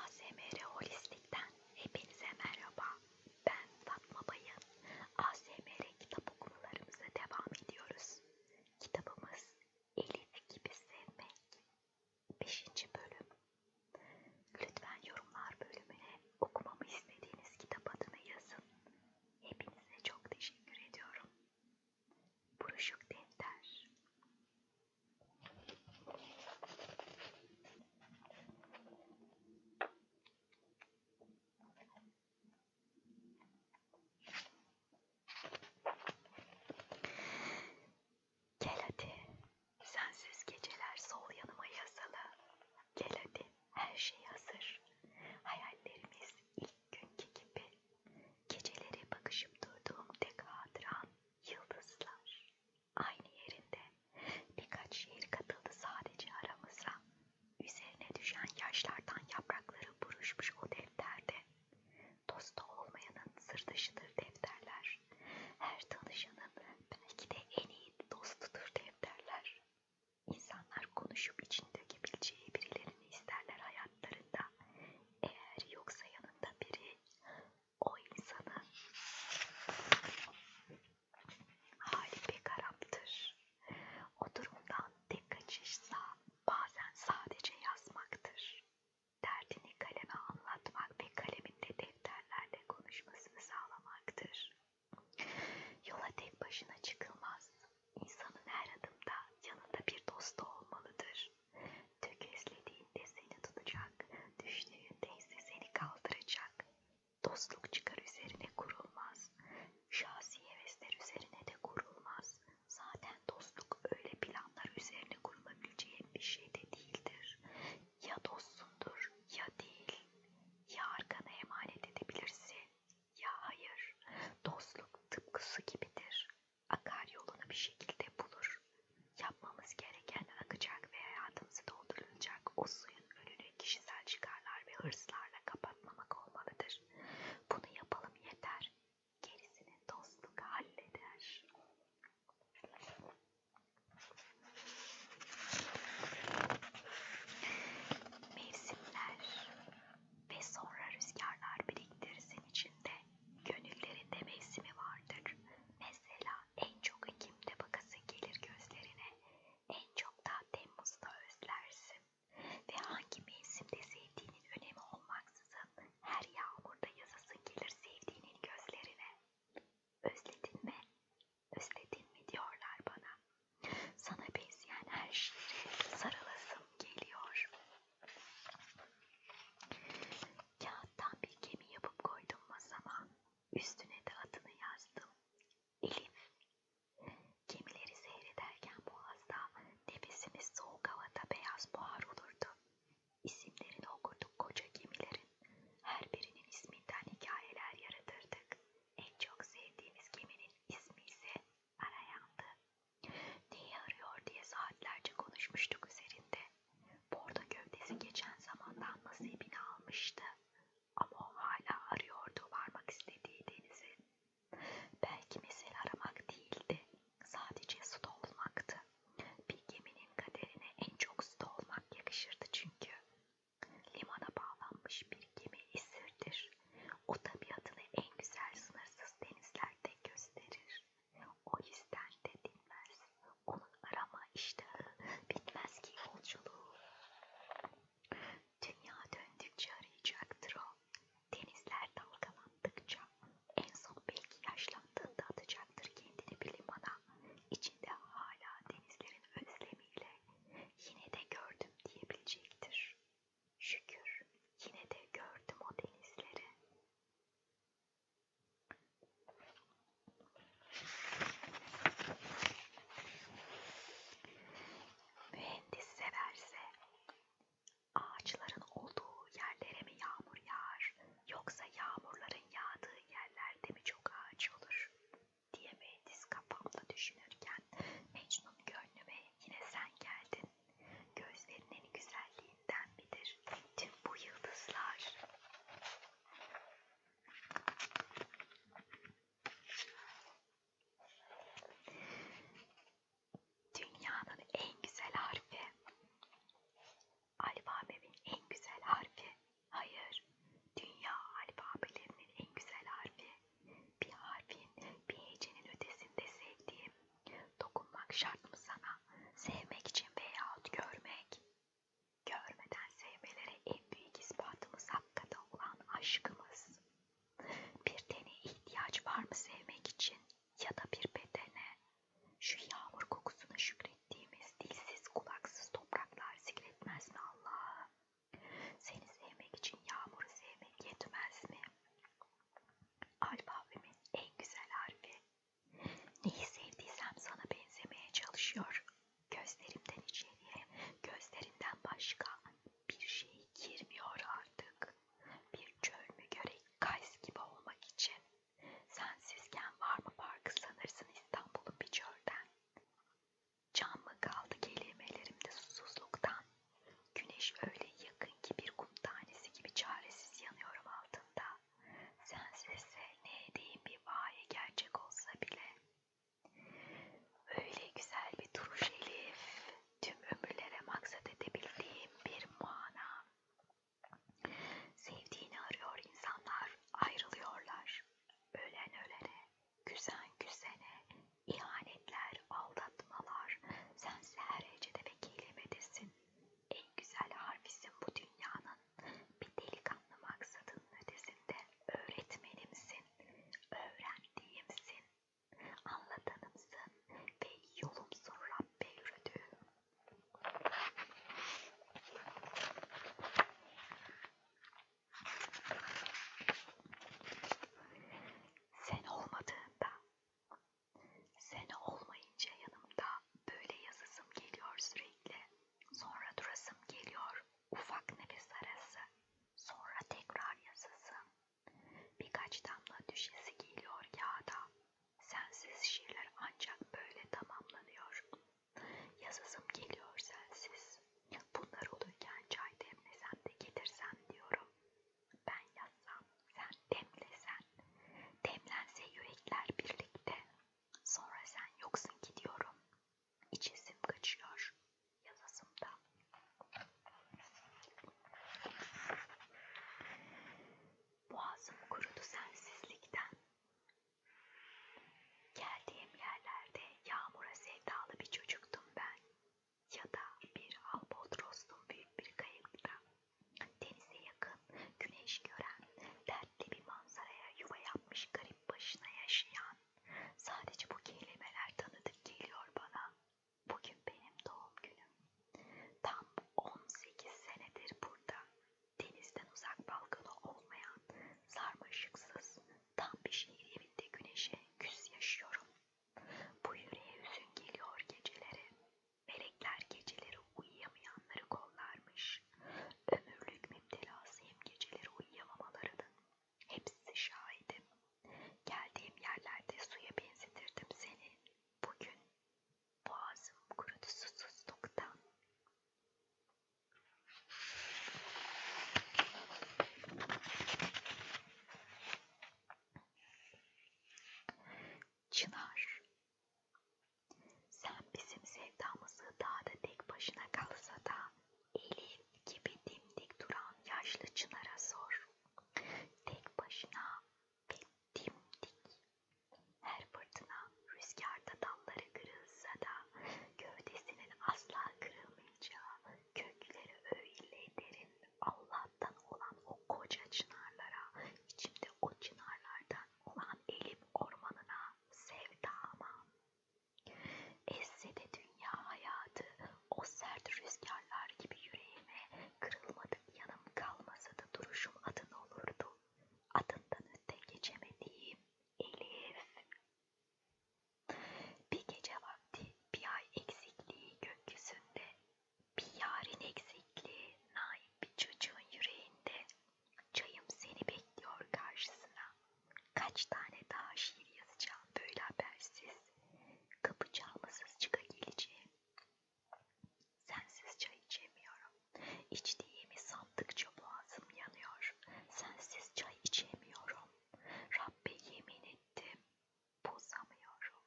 ASMR Holistik'ten hepinize merhaba. Ben Fatma Bayın. ASMR kitap okumalarımıza devam ediyoruz. Kitabımız Elif Gibi Sevmek 5. bölüm. Lütfen yorumlar bölümüne okumamı istediğiniz kitap adını yazın. Hepinize çok teşekkür ediyorum buruşuk defter. Gel hadi, sensiz geceler sol yanıma yasalı. Gel hadi, her şey hazır. Hayallerimiz ilk günkü gibi Geceleri bakışıp durduğum tek hatıram yıldızlar. Aynı yerinde birkaç şehir katıldı sadece aramıza. Üzerine düşen yaşlardan yaprakları buruşmuş o defterde. Dosta olmayanın sır dışıdır defterler. Her tanışanın belki de en iyi dostudur defterler. İnsanlar konuşup içinde dökebileceği birilerini isterler hayatlarında. Eğer yoksa yanında biri o insanın hali pek haraptır. O durumdan tek kaçışsa bazen sadece yazmaktır. Derdini kaleme anlatmak ve kaleminde defterlerle konuşmasını sağlamaktır. Yola tek başına çıkılmaz. İnsanın her adımda yanında bir dostu olmalıdır. Tökezlediğinde seni tutacak, düştüğünde ise seni kaldıracak. Dostluk çıkar üzerine kurulmaz, şahsi hevesler üzerine de kurulmaz. Zaten dostluk öyle planlar üzerine kurulabileceğin bir şey de değildir. Ya dostsundur ya değil, ya arkana emanet edebilirsin ya hayır. Dostluk tıpkısı gibidir akar yolunu bir şekilde bulur. Yapmamız gereken akacak ve hayatımızı doldurulacak o suyun önünü kişisel çıkarlar ve hırslarla kapatmamak olmalıdır. Bunu yapalım yeter. Gerisini dostluk halleder. Mevsimler ve sonra rüzgarlar biriktirsin içinde gönüllerinde mevsimi vardır. Mesela en çok Ekim'de bakasın gelir gözlerine, en çok da Temmuz'da özlersin ve hangi mevsimde sevdiğinin önemi olmaksızın her yağmurda yazasın gelir sevdiğinin gözlerine. Özledin mi? Özledin mi diyorlar bana. Sana benzeyen her şeye sarılasım geliyor. Kağıttan bir gemi yapıp koydum masama. Üstüne de adını yazdım. Elif. Gemileri seyrederken boğazda nefesimiz soğuk havada beyaz buhar olurdu. İsimlerini okurduk koca gemilerin. Her birinin isminden hikayeler yaratırdık. En çok sevdiğimiz geminin ismi ise Ara yandı. Neyi arıyor diye saatlerce konuşmuştuk üzerinde. Bordo gövdesi geçen zamandan nasibini almıştı. Ama o hala arıyordu varmak istediği denizi. Belki mesele aramak değildi. Sadece suda olmaktı. Bir geminin kaderine en çok suda olmak yakışırdı çünkü. Limana bağlanmış bir gemi esirdir. O tabiatını en güzel sınırsız denizlerde gösterir. O yüzden de dinmez. Onun arama iştahı bitmez ki yolculuğu. Dünya döndükçe arayacaktır o. Denizler dalgalandıkça en son belki yaşlandığında atacaktır kendini bir limana. İçinde hala denizlerin özlemiyle yine de gördüm diyebilecektir. Şükür yine de gördüm o denizleri. Mühendis severse ağaçların olduğu yerlere mi yağmur yağar yoksa yağmurların yağdığı yerlerde mi çok ağaç olur diye mühendis kafamda düşünürken Mecnun gönlüme yine sen geldin Gözlerinin güzelliğinden midir tüm bu yıldızlar? Dünyanın en güzel harfi. Alfabemin en güzel harfi. Hayır. Dünya alfabelerinin en güzel harfi. Bir harfin bir hecenin ötesinde sevdiğim Dokunmak şart mı sana? Sevmek için veyahut görmek. Görmeden sevmelere en büyük ispatımız hakikaten olan aşkımız. Bir tene ihtiyaç var mı sevmek için ya da bir bedene? Şu yağmur kokusuna şükrettiğimiz dilsiz kulaksız topraklar zikretmez mi Allah'ım? Seni sevmek için yağmuru sevmek yetmez mi? Alfabemin en güzel harfi. Neyi sevdiysem sana benzemeye çalışıyor. Gözlerimden içeriye, gözlerinden başka bir şey girmiyor artık. Bir çöl mü görek kays gibi olmak için. Sensizken var mı farkı sanırsın İstanbul'un bir çölden. Can mı kaldı kelimelerimde susuzluktan, Güneş öyle yakın ki bir kum tanesi gibi çaresiz yanıyorum altında. Sensizse ne edeyim bir vaye gerçek olsa bile. Öyle güzel bir duruş Elif, tüm ömürlere maksat edebildiğim bir mana. Sevdiğini arıyor insanlar, ayrılıyorlar. Ölen ölene, güzen güzene, ihanetler, aldatmalar, sense her hecede ve kelimedesin. En güzel harfisin bu dünyanın, bir delikanlı maksadın ötesinde öğretmenimsin, öğrendiğimsin, anlatanımsın ve yolumsun Rabbe yürüdüğüm. Sen olmadığında Sene olmayınca yanımda böyle yazısım geliyor sürekli. Sonra durasım geliyor. Ufak nefes arası. Sonra tekrar yazısım. Birkaç damla düşesi geliyor kağıda. Sensiz şiirler ancak böyle tamamlanıyor. Yazısım geliyor sensiz. Bunlar olurken çay demlesen de getirsen diyorum. Ben yazsam, sen demlesen, demlense yürekler birlikte. Sonra sen yoksun gidiyorum, içesim kaçıyor, yazasım da. Boğazım kurudu sensizlikten. Geldiğim yerlerde yağmura sevdalı bir çocuktum ben ya da bir albatrostun büyük bir kayıkta denize yakın güneş gören dertli bir manzaraya yuva yapmış garip başına yaşayan sadece bu kelimeler tanıdık geliyor bana. Bugün benim doğum günüm. Tam 18 senedir burada denizden uzak balkonu olmayan sarmaşıksız tam bir şehir evinde güneşe küs yaşıyorum. Bu yüreğe hüzün geliyor geceleri. Melekler geceleri uyuyamayanları kollarmış. Ömürlük müptelasıyım geceleri uyuyamamalarının. Hepsi şahidim. Geldiğim yerlerde suya benzetirdim seni. Bugün boğazım kurudu susuzluktan. Çınar, sen bizim sevdamızı dağda tek başına kalsa da elin gibi dimdik duran yaşlı Çınar'a sor. Tek başına ve dimdik. Her fırtına rüzgarda dalları kırılsa da gövdesinin asla kırılmayacağı kökleri öyle derin Allah'tan olan o koca çınarlara, içimde o çınarlardan olan elim ormanına sevdama. Esse de dünya hayatı o sert rüzgarlar gibi yüreğime kırılmadık yanım kalmasa da duruşum adın olurdu. Adından öte geçemediğim Elif. Bir gece vakti bir ay eksikliği gökyüzünde bir yarın eksikliği naif bir çocuğun yüreğinde çayım seni bekliyor karşısına. Kaç tane daha şiir yazacağım böyle habersiz. Kapı çalmasız çıka geleceğim. Sensiz çay içemiyorum. İçtiğimi sandıkça boğazım yanıyor. Sensiz çay içemiyorum. Rabbe yemin ettim. Bozamıyorum.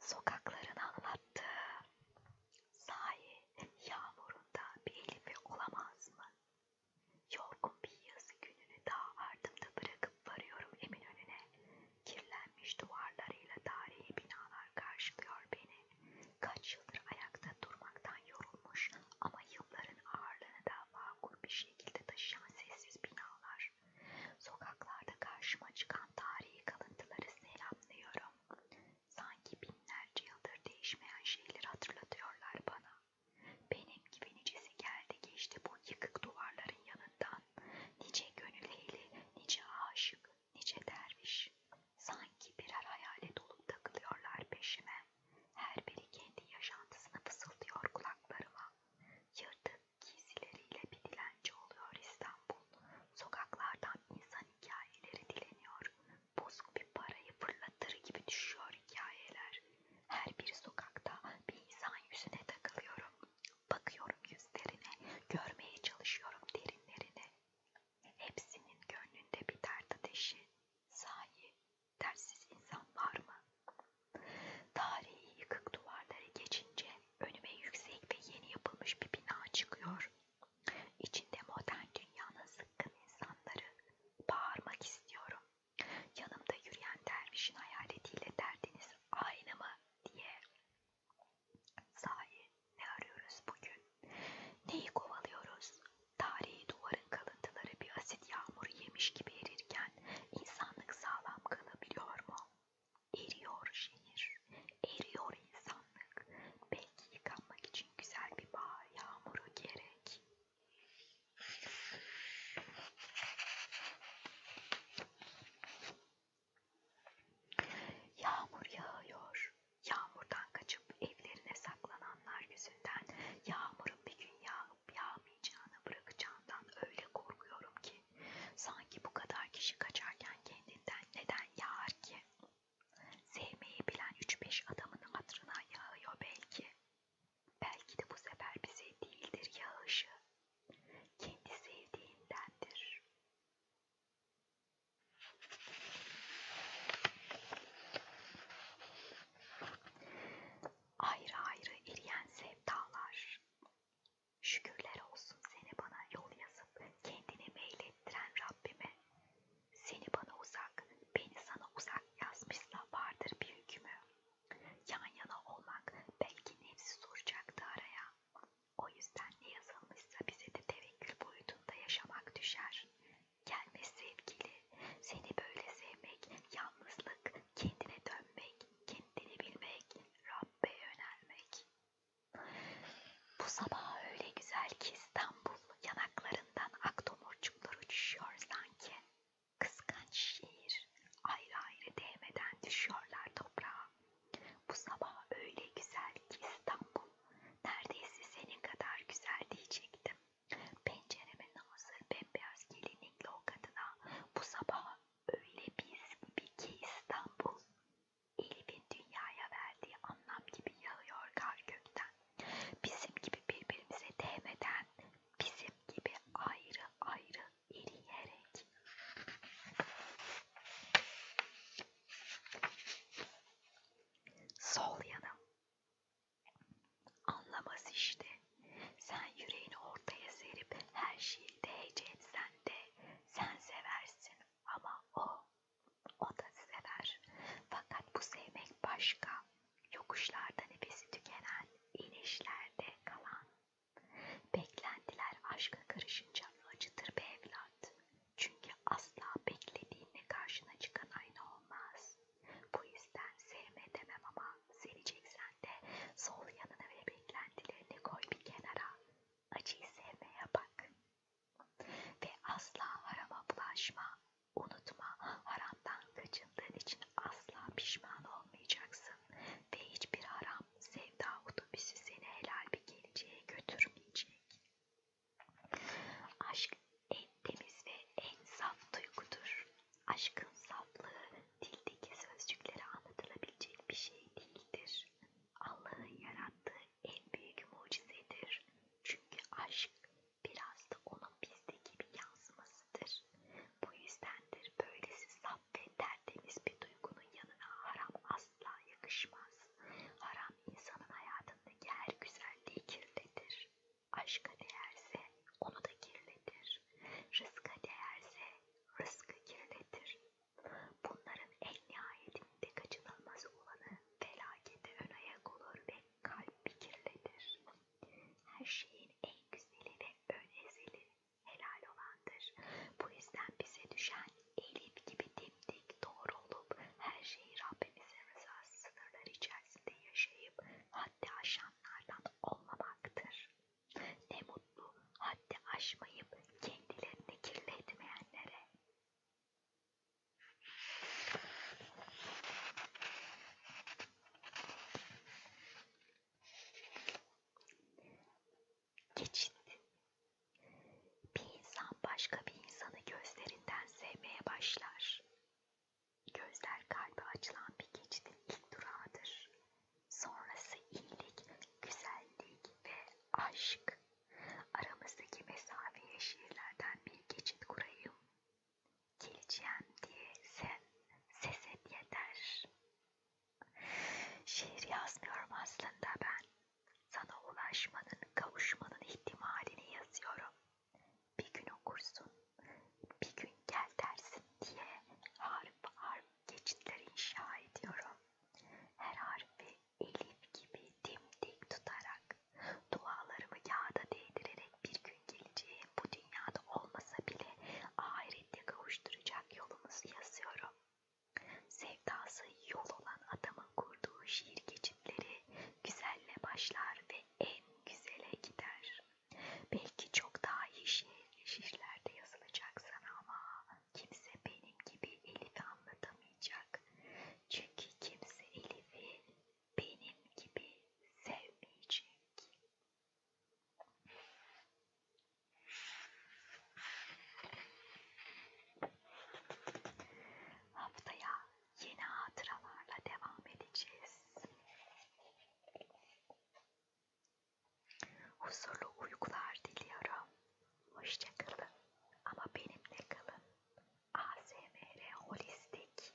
Sokaklarını anlattı. Sahi yağmurunda bir elifi olamaz mı? Yorgun bir yazı gününü daha ardımda bırakıp varıyorum Eminönü'ne. Kirlenmiş duvarlarıyla tarihi binalar karşılıyor beni. Kaç yıldır ayakta durmaktan yorulmuş ama yılların ağırlığını da vakur bir şekilde taşıyan sessiz binalar. Sokaklarda karşıma çıkan tarihi kalıntıları selamlıyorum. Sanki binlerce yıldır değişmeyen şeyleri hatırlatıyorlar bana. Benim gibi nicesi geldi geçti bu yıkık duvarların yanından. Nice gönül eğili, nice aşık, nice derviş. Sanki birer hayalet olup takılıyorlar peşime. Her biri kendi yaşantısını fısıldıyor kulaklarıma. Yırtık giysileriyle bir dilenci oluyor İstanbul. Sokaklardan insan hikayeleri dileniyor. Bozuk bir parayı fırlatır gibi düşüyor hikayeler. Her bir sokakta bir insan yüzüne takılıyorum. Bakıyorum yüzlerine, görmeye çalışıyorum derinlerine hepsinin gönlünde bir dert ateşi, sahi dersiz insan var mı? Tarihi yıkık duvarları geçince önüme yüksek ve yeni yapılmış bir bina çıkıyor. İçinde modern dünyanın zıkkın insanları, bağırmak istiyorum. Yanımda yürüyen dervişin hayaletiyle derdiniz aynı mı diye Sahi ne arıyoruz bugün? Neyi kovalıyoruz? Tarihi duvarın kalıntıları bir asit yağmuru yemiş gibi erirken insanlık sağlam kalabiliyor mu? Eriyor şehir, eriyor insanlık. Belki yıkanmak için güzel bir bahar yağmuru gerek. Yağmur yağıyor. Yağmurdan kaçıp evlerine saklananlar yüzünden yağmurun bir gün yağıp yağmayacağını bırakacağından öyle korkuyorum ki sanki bu kadar kişi kaçarken kendinden neden yağar ki? Sevmeyi bilen 3-5 adamın hatırına yağıyor belki. Belki de bu sefer bize değildir yağışı. Kendi sevdiğindendir. Ayrı ayrı eriyen sevdalar, şükürler olsun seni bana yol yazıp kendini meylettiren Rabbime, seni bana uzak, beni sana uzak yazmışsa vardır bir hükmü. Yan yana olmak belki nefsi soracaktı araya, o yüzden ne yazılmışsa bize de tevekkül boyutunda yaşamak düşer. Gelme sevgili, seni böyle sevmek, yalnızlık, kendine dönmek, kendini bilmek, Rabbe yönelmek. Bu sabah öyle güzel ki İstanbul yanaklarından ak tomurcuklar uçuşuyor sanki. Kıskanç şehir ayrı ayrı değmeden düşüyorlar toprağa. Bu sabah öyle güzel ki İstanbul, neredeyse senin kadar güzel diyecektim. Pencereme nazır bembeyaz gelinlikli o kadına, bu sabah öyle biz gibi ki İstanbul. Elif'in dünyaya verdiği anlam gibi yağıyor kar gökten. Bizim gibi birbirimize değmeden, bizim gibi ayrı ayrı eriyerek. Sol yanım. Anlamaz işte. Sen yüreğini ortaya serip her şeyi değece etsen de sen seversin ama o, o da sever. Fakat bu sevmek başka. Yokuşlarda nefesi tükenen, inişlerde kalan. Beklentiler aşka karışınca acıtır be evlat. Çünkü asla beklediğinle karşına çıkan aynı olmaz. Bu yüzden sevme demem ama seveceksen de sol yanına ve beklentilerini koy bir kenara. Acıyı sevmeye bak. Ve asla harama bulaşma. Unutma haramdan kaçındığın için asla pişman olmayacaksın. Ve hiçbir haram sevda otobüsü seni helal bir geleceğe götürmeyecek. Aşk en temiz ve en saf duygudur. Aşkın saflığı dildeki sözcüklere anlatılabilecek bir şey değildir. Allah'ın yarattığı en büyük mucizedir. Çünkü aşk biraz da onun bizdeki bir yansımasıdır. Bu yüzdendir böylesi saf ve tertemiz bir duygunun yanına haram asla asla yakışmaz. Haram insanın hayatındaki her güzelliği kirletir. Aşka değerse onu da kirletir. Rızka değerse rızkı kirletir. Bunların en nihayetinde kaçınılmaz olanı felakete ön ayak olur ve kalbi kirletir. Her şeyin en güzeli ve ön ezeli helal olandır. Bu yüzden bize düşen elif gibi dimdik doğru olup her şeyi Rabbimizin rızası sınırları içerisinde yaşayıp haddi aşanlardan olmamaktır. Ne mutlu haddi aşmayıp kendilerini kirletmeyenlere geçindi. Bir insan başka bir insanı gözlerinden sevmeye başlar. Gözler kalbe açılan bir geçidin ilk durağıdır. Sonrası iyilik, güzellik ve aşk. Aramızdaki mesafeye şiirlerden bir geçit kurayım. Geleceğim diye sen ses et yeter. Şiir yazmıyorum aslında ben. Sana ulaşmanın, kavuşmanın ihtimalini yazıyorum. Bir gün okursun, bir gün gel dersin diye harf harf geçitler inşa ediyorum. Her harfi elif gibi dimdik tutarak, dualarımı yağda değdirerek bir gün geleceğim bu dünyada olmasa bile ahirette kavuşturacak yolumuzu yazıyorum. Sevdası yol olan adamın kurduğu şiir geçitleri güzelle başlar ve en güzele gider. Belki çok daha iyi şiir, şiirlerde yazılacak sana ama kimse benim gibi Elif'i anlatamayacak. Çünkü kimse Elif'i benim gibi sevmeyecek. Haftaya yeni hatıralarla devam edeceğiz. Huzurlu uykular diliyorum. Hoşçakalın ama benimle kalın. ASMR Holistik